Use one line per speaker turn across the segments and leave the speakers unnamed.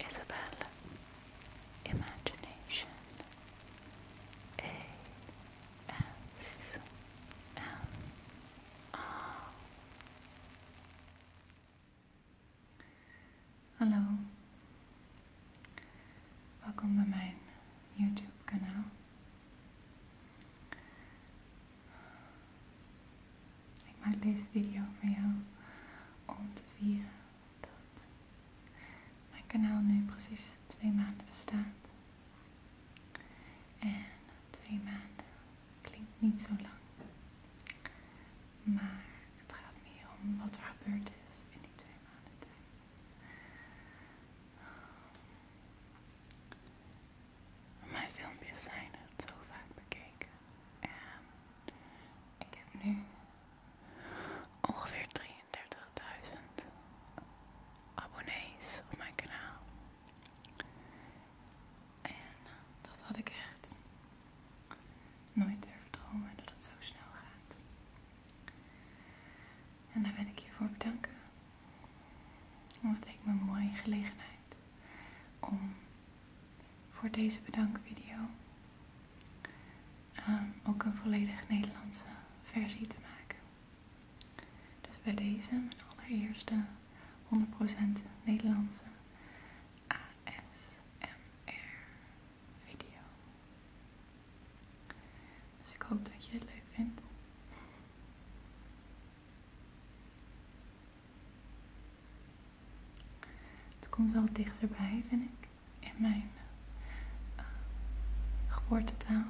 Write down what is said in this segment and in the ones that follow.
Isabel Imagination A S M R Hallo, welkom bij mijn YouTube kanaal. Ik maak deze video voor jou om te vieren dat mijn kanaal nu precies twee maanden bestaat. En twee maanden klinkt niet zo lang. Maar het gaat meer om wat er gebeurd is in die twee maanden tijd. Mijn filmpjes zijn het zo vaak bekeken. En ik heb nu ongeveer 33.000 abonnees op mijn kanaal. En dat had ik echt nooit durven dromen dat het zo snel gaat. En daar ben ik je voor bedanken. omdat ik me een mooie gelegenheid om voor deze bedankvideo. Ehm, ook een volledig Nederlandse versie te maken. Dus bij deze, mijn allereerste 100% Nederlandse ASMR video. Dus ik hoop dat je het leuk vindt. Het komt wel dichterbij, vind ik, in mijn eh, geboortetaal.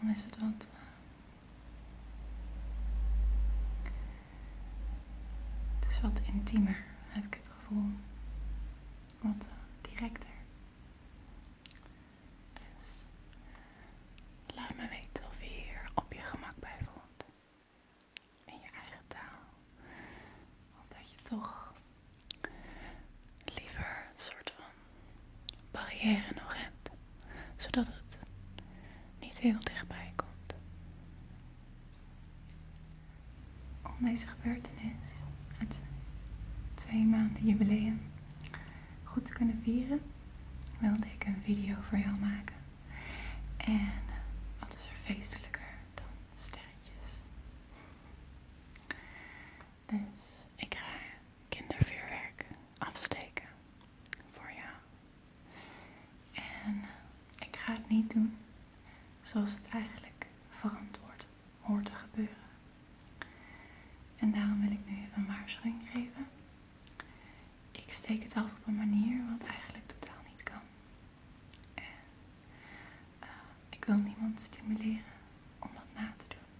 Dan is het wat. Eh, het is wat intiemer, heb ik het gevoel. Wat eh, directer. Dus laat me weten of je hier op je gemak bij voelt. In je eigen taal. Of dat je toch liever een soort van barrière nog hebt. Zodat het niet heel dichtbij komt. Om deze gebeurtenis, het twee maanden jubileum, goed te kunnen vieren, wilde ik een video voor jou maken. En wat is er feestelijker dan sterretjes? Dus ik ga kindervuurwerk afsteken voor jou. En ik ga het niet doen zoals het eigenlijk verantwoord hoort te gebeuren. En daarom wil ik nu even een waarschuwing geven. Ik steek het af op een manier wat eigenlijk totaal niet kan. En eh, ik wil niemand stimuleren om dat na te doen.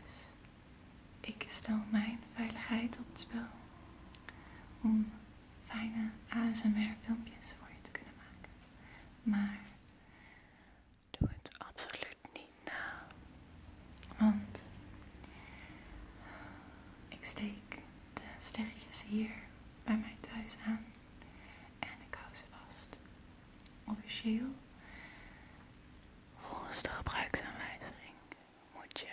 Dus ik stel mijn veiligheid op het spel om fijne ASMR filmpjes voor je te kunnen maken. Maar Doe het absoluut niet na. Want ik steek de sterretjes hier bij mij thuis aan. En ik hou ze vast. Officieel. Volgens de gebruiksaanwijzing moet je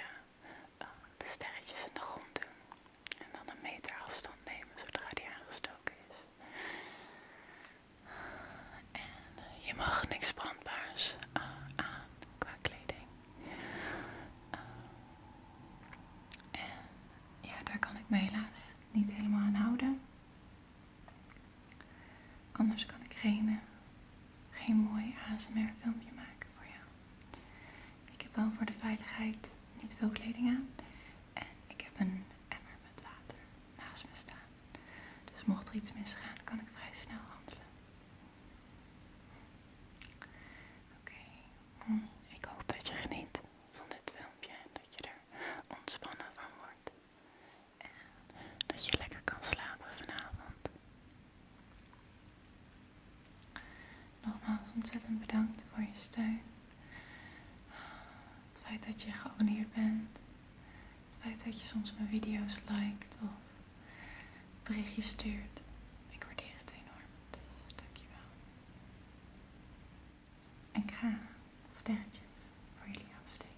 eh, de sterretjes in de grond doen. En dan een meter afstand nemen zodra die aangestoken is. En je mag niks brandbaars eh, aan qua kleding. Eh, en ja, daar kan ik me helaas niet helemaal aan houden. Anders kan ik geen, eh, geen mooi ASMR filmpje maken voor jou. Ik heb wel voor de veiligheid niet veel kleding aan. En ik heb een maar met water naast me staan. Dus mocht er iets misgaan, kan ik vrij snel handelen. Oké, hm, ik hoop dat je geniet van dit filmpje en dat je er ontspannen van wordt. En dat je lekker kan slapen vanavond. Nogmaals ontzettend bedankt voor je steun. Ah, het feit dat je geabonneerd bent. Het feit dat je soms mijn video's liked of berichtjes stuurt. Ik waardeer het enorm. Dus dankjewel. Ik ga sterretjes voor jullie afsteken.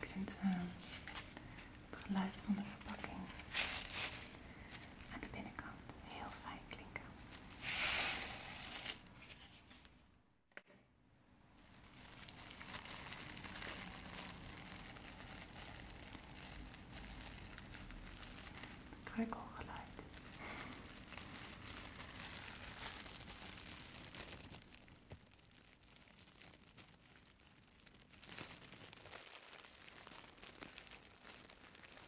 Je kunt eh, het geluid van de verpakking aan de binnenkant heel fijn klinken. Kreukelgeluid.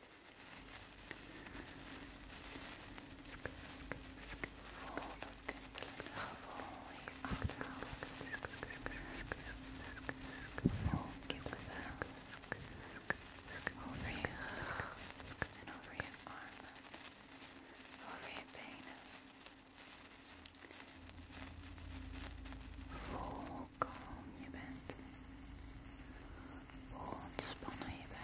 Voel dat dit gevoel je achterhaalt. Voel over je rug en over je armen, over je benen. Voel hoe kalm je bent, ontspannen je bent.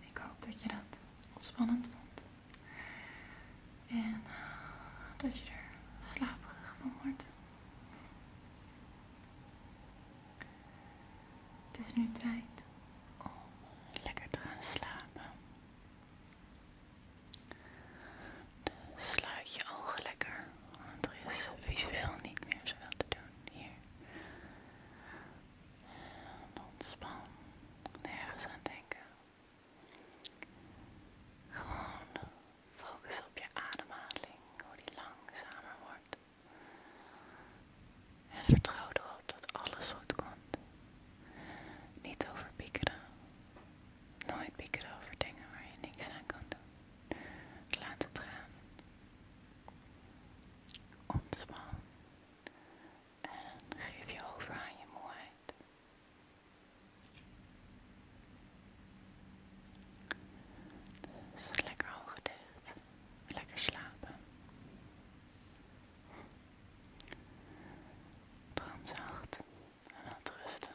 Ik hoop dat je dat ontspannend vond. En dat je er slaperig van wordt. Het is nu tijd om lekker te gaan slapen sluit je ogen lekker, want er is visueel niet meer zoveel te doen hier. En ontspan, nergens aan denken. Gewoon focus op je ademhaling, hoe die langzamer wordt. En vertrouw erop dat alles goed komt. Niet over piekeren. Nooit piekeren over dingen waar je niks aan kan doen. Laat het gaan. Ontspan. En geef je over aan je moeheid. Dus lekker ogen dicht. Lekker slapen. droomzacht en laat rusten.